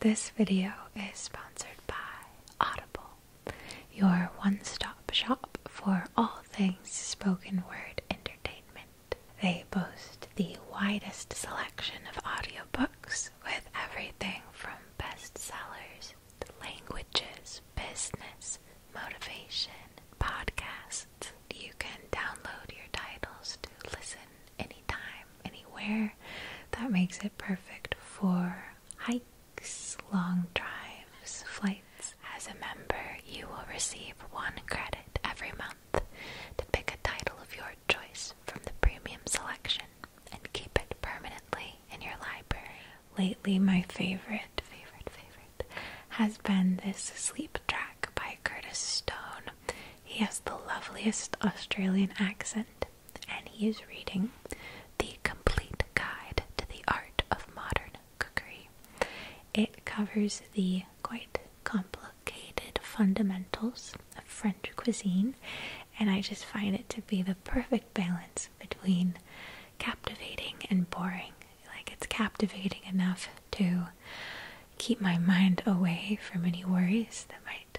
This video is sponsored by Audible, your one stop shop for all things spoken word entertainment. They boast the widest selection of audiobooks with everything from bestsellers to languages, business, motivation, podcasts. You can download your titles to listen anytime anywhere. That makes it perfect for hikes, long drives, flights. As a member, you will receive one credit every month to pick a title of your choice from the premium selection and keep it permanently in your library. Lately, my favorite, favorite, favorite has been this sleep track by Curtis Stone. He has the loveliest Australian accent, and he is reading The Complete Guide to the Art of Modern Cookery. It covers the quite complicated fundamentals of French cuisine, and I just find it to be the perfect balance between captivating and boring. Like, it's captivating enough to keep my mind away from any worries that might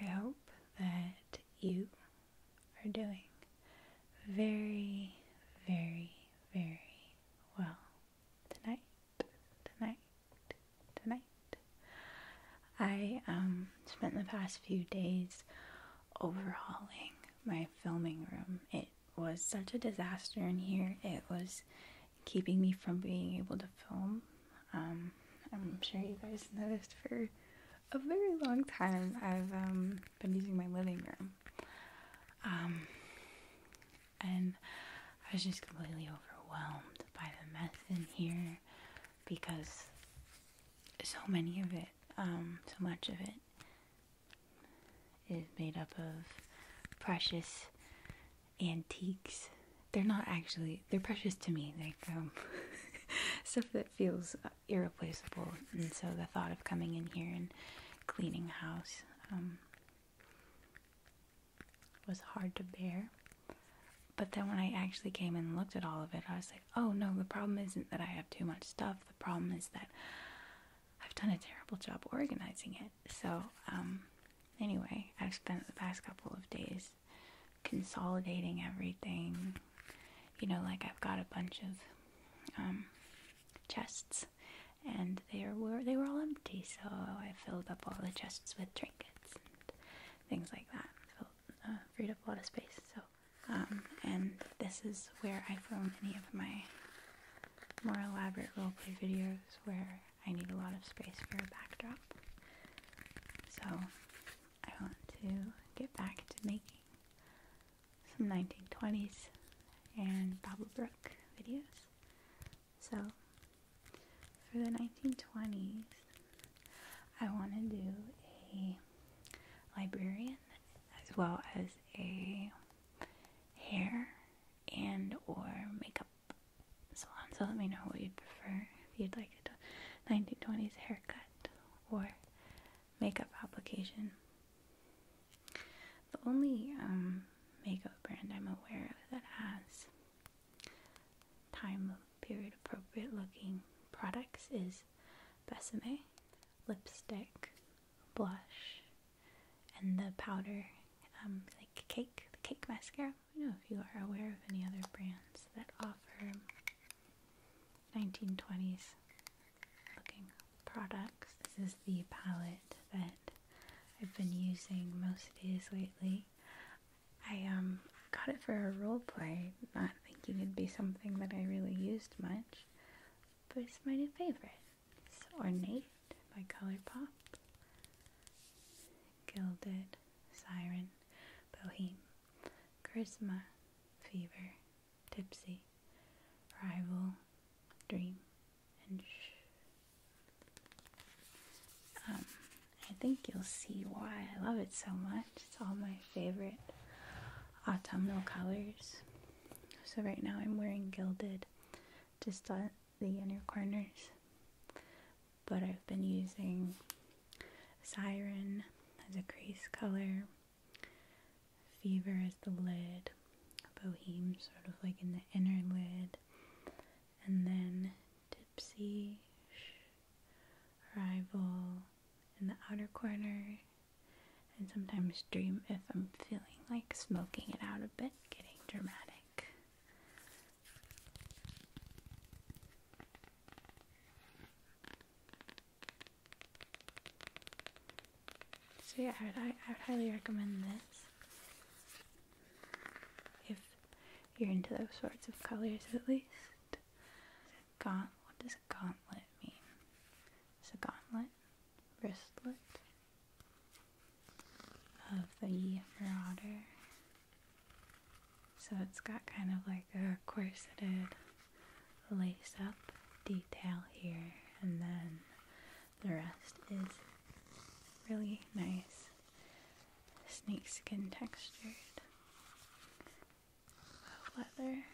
I, hope that you are doing very, very, very well tonight, tonight, tonight. I um, spent the past few days overhauling my filming room. It was such a disaster in here. It was keeping me from being able to film. Um, I'm sure you guys noticed for a very long time I've um, been using my living room. Um, and I was just completely overwhelmed by the mess in here because so many of it, so much of it is made up of precious antiques. They're not actually, they're precious to me. Like, um, stuff that feels irreplaceable. And so the thought of coming in here and cleaning house um, was hard to bear. But then when I actually came and looked at all of it, I was like, oh no, the problem isn't that I have too much stuff. The problem is that I've done a terrible job organizing it. So, um, Anyway, I've spent the past couple of days consolidating everything. You know, like I've got a bunch of um, chests, and they were they were all empty, so I filled up all the chests with trinkets and things like that. So, uh, freed up a lot of space. So, um, and this is where I film any of my more elaborate roleplay videos where I need a lot of space for a backdrop. So I want to get back to making some 1920s and Babblebrook videos. So for the 1920s, I want to do a librarian as well as a hair and or makeup salon, so let me know what you'd prefer. If you'd like a 1920s haircut or makeup application. The only um, makeup brand I'm aware of that has time period appropriate looking products is Besame lipstick, blush, and the powder um, Cake, the Cake mascara. I don't know if you are aware of any other brands that offer 1920s looking products. This is the palette that I've been using most days lately. I um, got it for a role play, not thinking it'd be something that I really used much, but it's my new favorite. It's ornate by Colourpop, Gilded, Siren, Boheme, Charisma, Fever, Tipsy, Rival, Dream, and Shh. Um, I think you'll see why I love it so much. It's all my favorite autumnal colors. So right now I'm wearing Gilded just the inner corners. But I've been using Siren as a crease color, Fever as the lid, Bohem sort of like in the inner lid, and then Tipsy, Rival in the outer corner, and sometimes Dream if I'm feeling like smoking it out a bit, getting dramatic. So yeah, I would, I would highly recommend this if you're into those sorts of colors at least. Gaunt, what does gauntlet mean? It's a gauntlet, wristlet, of the Marauder. So it's got kind of like a corseted lace up detail here, and then the rest is really nice snakeskin textured leather.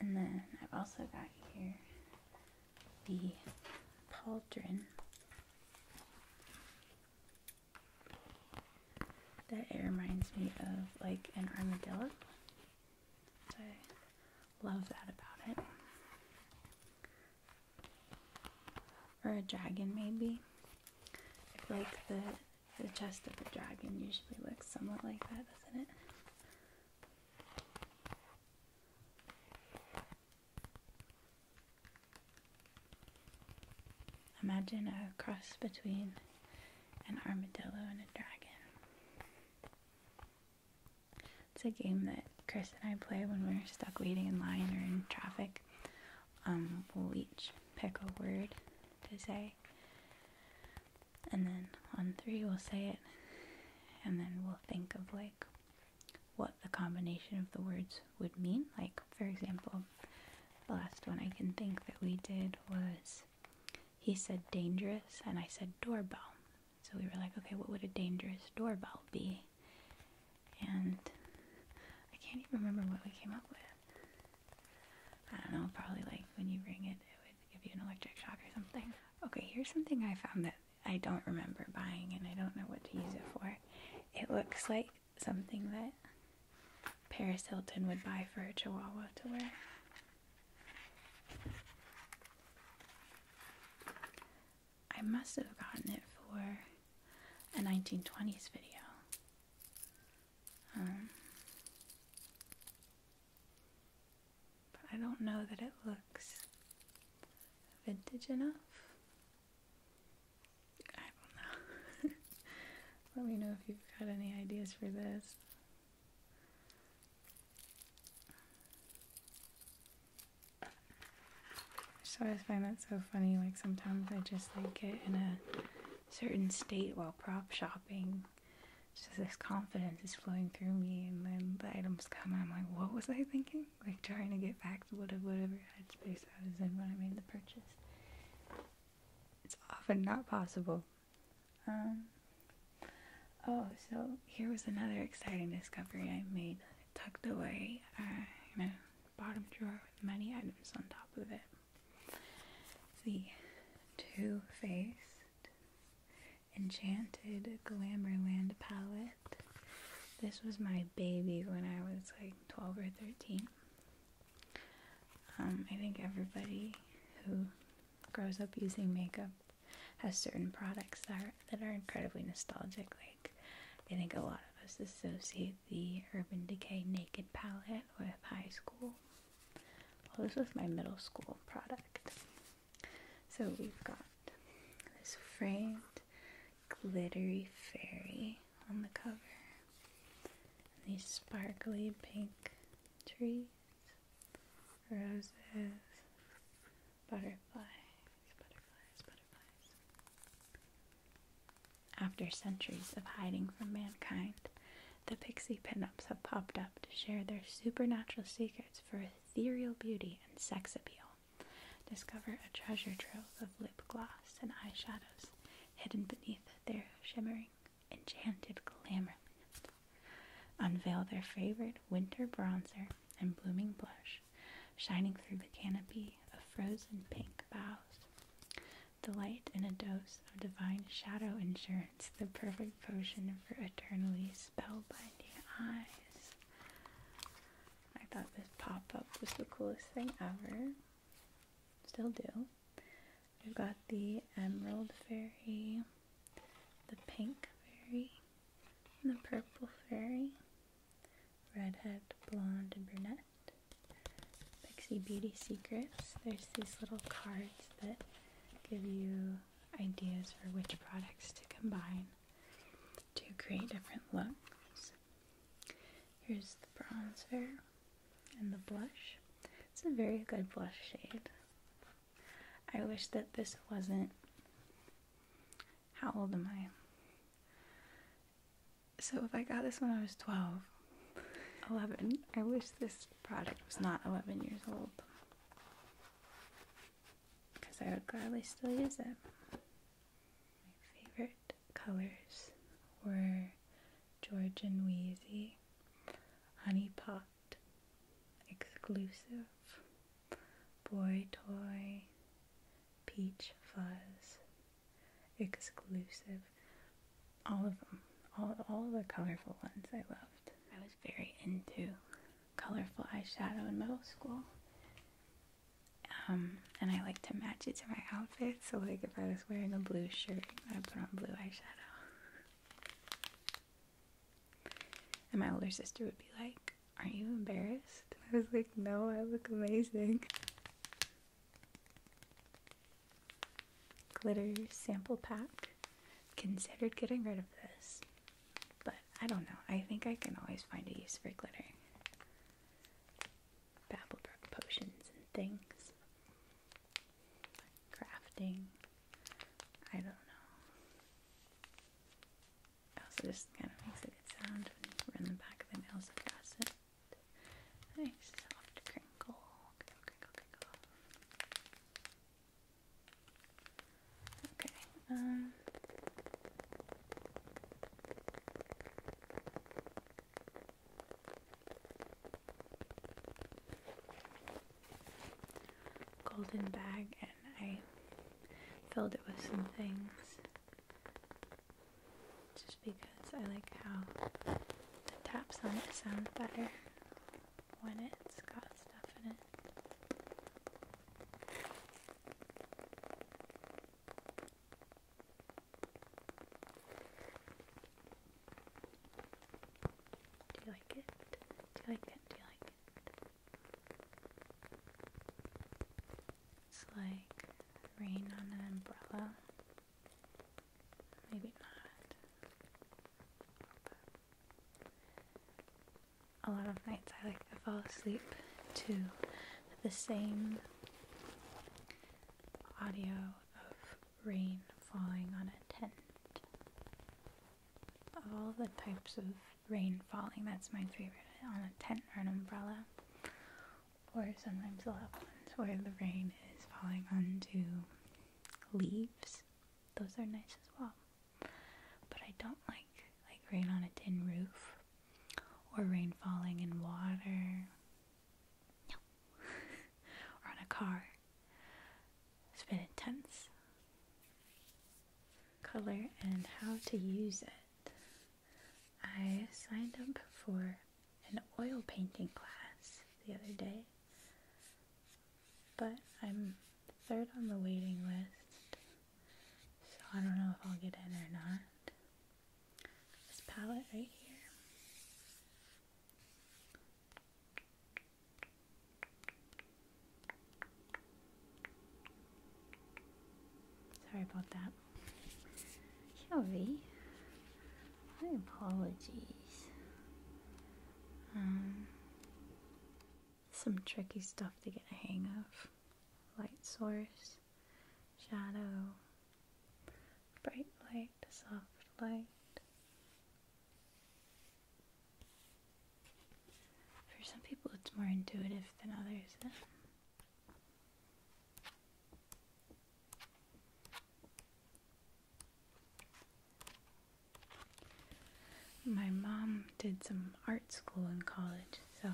And then I've also got here the pauldron. That reminds me of like an armadillo. I love that about it. Or a dragon maybe. I feel like the the chest of the dragon usually looks somewhat like that, doesn't it? Imagine a cross between an armadillo and a dragon. It's a game that Chris and I play when we're stuck waiting in line or in traffic. Um, we'll each pick a word to say, and then on three we'll say it, and then we'll think of like what the combination of the words would mean. Like, for example, the last one I can think that we did was he said dangerous and I said doorbell. So we were like, okay, what would a dangerous doorbell be? And I can't even remember what we came up with. I don't know, probably like when you ring it, it would give you an electric shock or something. Okay, here's something I found that I don't remember buying and I don't know what to use it for. It looks like something that Paris Hilton would buy for a chihuahua to wear. I must have gotten it for a 1920s video. Um, but I don't know that it looks vintage enough. I don't know. Let me know if you've got any ideas for this. So I find that so funny. Like sometimes I just like get in a certain state while prop shopping. Just this confidence is flowing through me, and then the items come, and I'm like, what was I thinking? like trying to get back to whatever headspace I was in when I made the purchase. It's often not possible. Um, oh, so here was another exciting discovery I made. tucked away uh, in a bottom drawer with many items on top of it. The Too Faced Enchanted Glamourland palette this was my baby when I was like 12 or 13. Um, I think everybody who grows up using makeup has certain products that that are incredibly nostalgic. Like, I think a lot of us associate the Urban Decay Naked Palette with high school. Well, this was my middle school product. So we've got this framed glittery fairy on the cover, and these sparkly pink trees, roses, butterflies, butterflies, butterflies. After centuries of hiding from mankind, the pixie pinups have popped up to share their supernatural secrets for ethereal beauty and sex appeal. Discover a treasure trove of lip gloss and eyeshadows hidden beneath their shimmering, enchanted glamour Unveil their favorite winter bronzer and blooming blush, shining through the canopy of frozen pink boughs. Delight in a dose of divine shadow insurance, the perfect potion for eternities spellbinding eyes. I thought this pop-up was the coolest thing ever. Still do. We've got the emerald fairy, the pink fairy, the purple fairy, redhead, blonde, and brunette, Pixie Beauty Secrets. There's these little cards that give you ideas for which products to combine to create different looks. Here's the bronzer and the blush. It's a very good blush shade. I wish that this wasn't. How old am I? So, if I got this when I was 12, 11, I wish this product was not 11 years old because I would gladly still use it. My favorite colors were Georgian Wheezy, Honey Pot, Exclusive, Boy Toy, Peach Fuzz, Exclusive. All of them. All, all the colorful ones I loved. I was very into colorful eyeshadow in middle school. Um, and I like to match it to my outfit. So, like, if I was wearing a blue shirt, I would put on blue eyeshadow. And my older sister would be like, Aren't you embarrassed? I was like, No, I look amazing. Glitter sample pack. Considered getting rid of this. But I don't know. I think I can always find a use for glitter. Babblebrook potions and things. Crafting. I don't know. also just kind of makes a sound when you run the back of the nails across it. Nice soft crinkle. Okay, um golden bag and I filled it with some things just because I like how the taps on it sound better when it's got stuff in it. Do you like it? Do you like it? Do you like it? It's like rain on an umbrella. Maybe not. But a lot of nights I like to fall asleep to the same audio of rain falling on a tent. Of all the types of rain falling, that's my favorite on a tent or an umbrella. Or sometimes I'll have ones where the rain is falling onto leaves. Those are nice as well. But I don't like like rain on a tin roof or rain falling in water. or on a car. It's been intense. Color and how to use it. I signed up for an oil painting class the other day, but I'm third on the waiting list so I don't know if I'll get in or not. This palette right here. Sorry about that. Shelby, my apologies. Um, some tricky stuff to get a hang of. Light source, shadow, bright light, soft light. For some people, it's more intuitive than others. My mom did some art school in college, so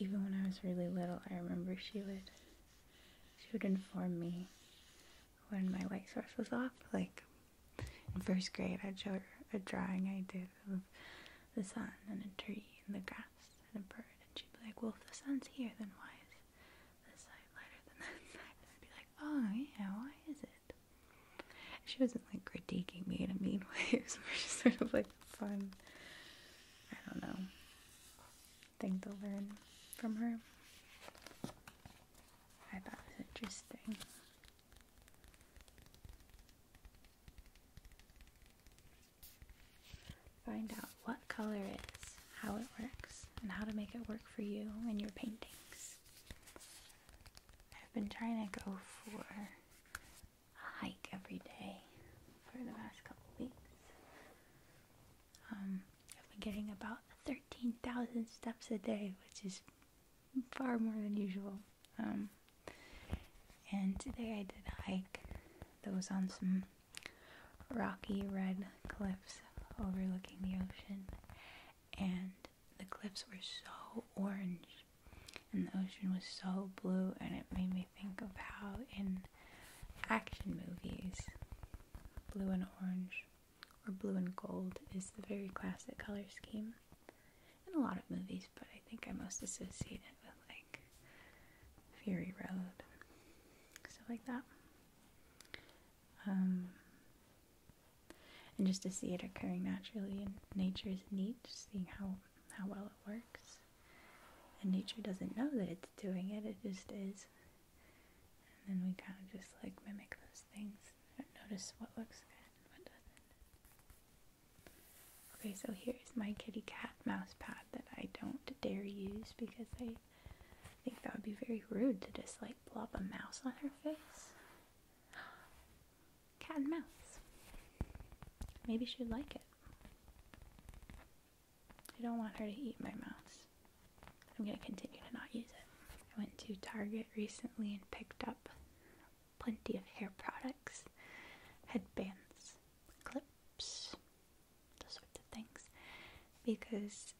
even when I was really little, I remember she would she would inform me when my light source was off. Like in first grade, i showed her a drawing I did of the sun and a tree and the grass and a bird, and she'd be like, "Well, if the sun's here, then why is this side lighter than that side?" And I'd be like, "Oh yeah, why is it?" She wasn't like critiquing me in a mean way. It was just sort of like fun. I don't know. Thing to learn from her. I thought it was interesting. Find out what color is, how it works, and how to make it work for you in your paintings. I've been trying to go for a hike every day for the past couple weeks. Um, I've been getting about 13,000 steps a day, which is far more than usual. Um, and today I did a hike that was on some rocky red cliffs overlooking the ocean, and the cliffs were so orange and the ocean was so blue, and it made me think of how in action movies, blue and orange or blue and gold is the very classic color scheme in a lot of movies, but I think I most associate it with like Fury Road, stuff like that. Um, and just to see it occurring naturally in nature is neat, seeing how, how well it works. And nature doesn't know that it's doing it, it just is. And then we kind of just like mimic those things notice what looks good and what doesn't. Okay, so here's my kitty cat mouse pad that I don't dare use because I think that would be very rude to just like blob a mouse on her face. Cat and mouse. Maybe she'd like it. I don't want her to eat my mouse. I'm going to continue to not use it. I went to Target recently and picked up plenty of hair products, headbands, clips, those sorts of things, because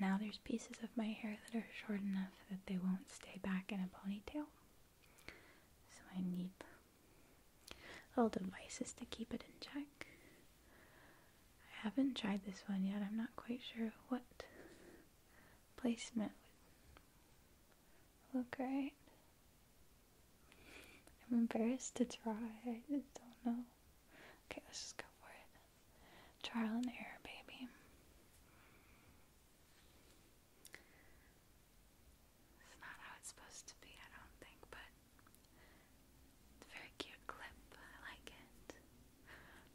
now there's pieces of my hair that are short enough that they won't stay back in a ponytail. So I need little devices to keep it in check. I haven't tried this one yet. I'm not quite sure what placement would look right. I'm embarrassed to try. I just don't know. Okay, let's just go for it. Trial and error, baby. It's not how it's supposed to be, I don't think, but it's very cute clip. I like it.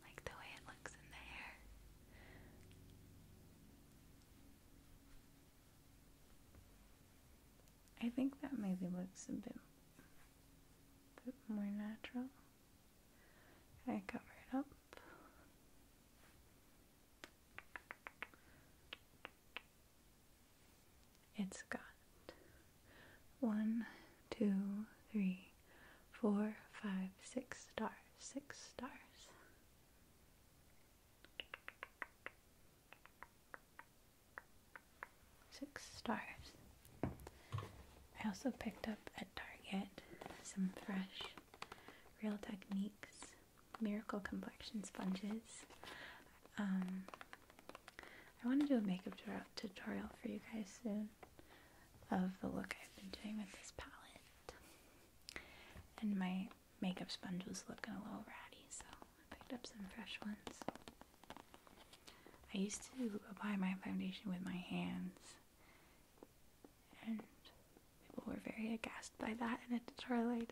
like the way it looks in the hair. I think that maybe looks a bit, a bit more natural. I cover it up. It's got one, two, three, four, five, six stars, six stars. Six stars. I also picked up at Target some fresh Real Techniques Miracle Complexion Sponges. Um, I want to do a makeup tutorial for you guys soon of the look I've been doing with this palette. And my makeup sponge was looking a little ratty, so I picked up some fresh ones. I used to apply my foundation with my hands and people were very aghast by that, and it deteriorated.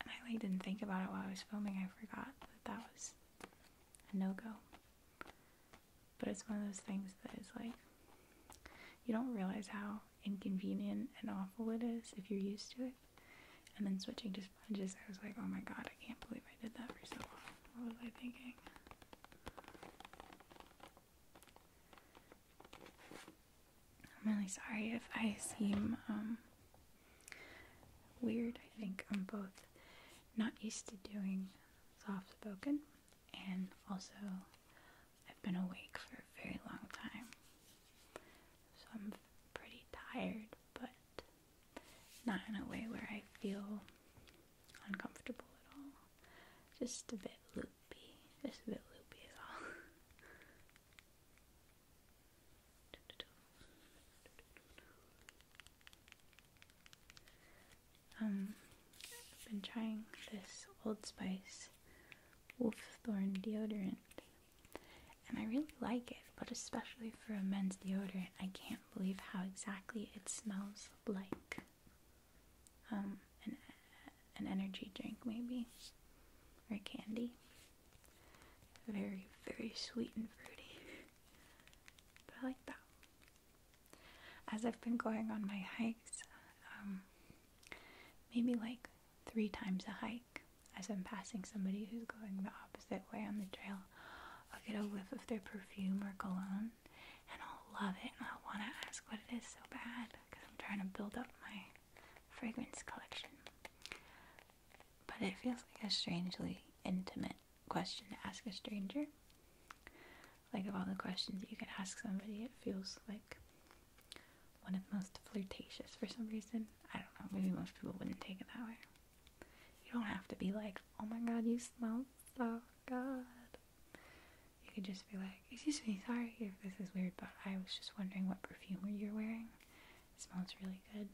And I like didn't think about it while I was filming. I forgot that that was a no go. But it's one of those things that is like you don't realize how inconvenient and awful it is if you're used to it. And then switching to sponges, I was like, oh my god, I can't believe I did that for so long. What was I thinking? I'm really sorry if I seem um, weird. I think I'm both not used to doing soft spoken and also I've been awake for a very long time. So I'm pretty tired, but not in a way where I feel uncomfortable at all. Just a bit loopy. Just a bit loopy at all. um, I've been trying this Old Spice Wolf Thorn deodorant, and I really like it, but especially for a men's deodorant, I can't believe how exactly it smells like um, an, an energy drink, maybe, or candy. Very, very sweet and fruity. I like that. As I've been going on my hikes, um, maybe like three times a hike, as I'm passing somebody who's going the opposite way on the trail, I'll get a whiff of their perfume or cologne and I'll love it and I'll want to ask what it is so bad because I'm trying to build up my fragrance collection. But it feels like a strangely intimate question to ask a stranger. Like, of all the questions you could ask somebody, it feels like one of the most flirtatious for some reason. I don't know, maybe most people wouldn't take it that way. You don't have to be like, oh my god, you smell so good. You could just be like, excuse me, sorry if this is weird, but I was just wondering what perfume you're wearing. It smells really good.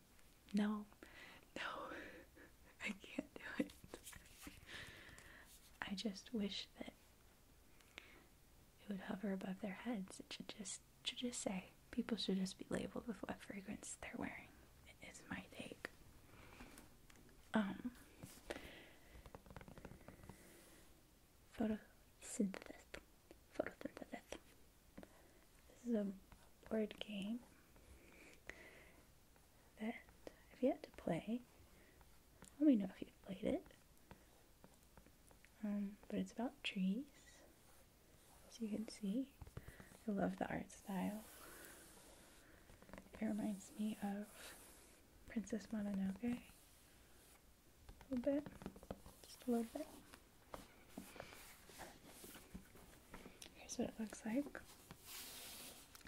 No, no, I can't do it. I just wish that it would hover above their heads. It should just, should just say, people should just be labeled with what fragrance they're wearing is my take. Um, photosynthesis. Photosynthesis. This is a board game that I've yet to play. Let me know if you've played it. Um, but it's about trees, as you can see. I love the art style. It reminds me of Princess Mononoke a little bit, just a little bit. Here's what it looks like.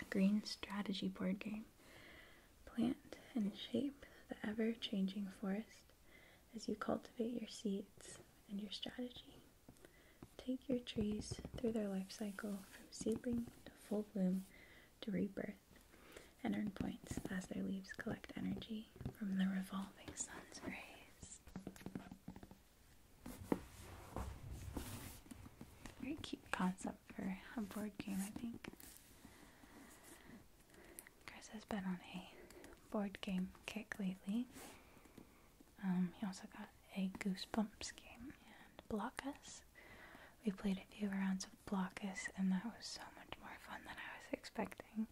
A green strategy board game. Plant and shape the ever-changing forest as you cultivate your seeds and your strategy. Take your trees through their life cycle from seedling to full bloom to rebirth and earn points as their leaves collect energy from the revolving sun's rays. Very cute concept for a board game, I think. Chris has been on a board game kick lately. Um, he also got a Goosebumps game and Blockus. We played a few rounds of Blockus, and that was so much more fun than I was expecting.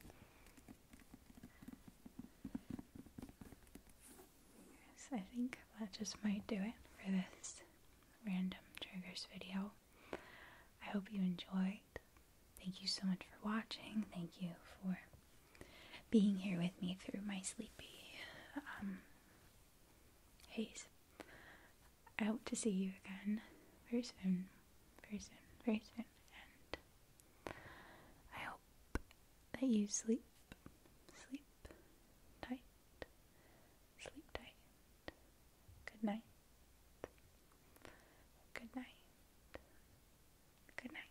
Yes, I think that just might do it for this random triggers video. I hope you enjoyed. Thank you so much for watching. Thank you for being here with me through my sleepy um, Hayes. I hope to see you again very soon, very soon, very soon, and I hope that you sleep, sleep tight, sleep tight. Good night. Good night. Good night.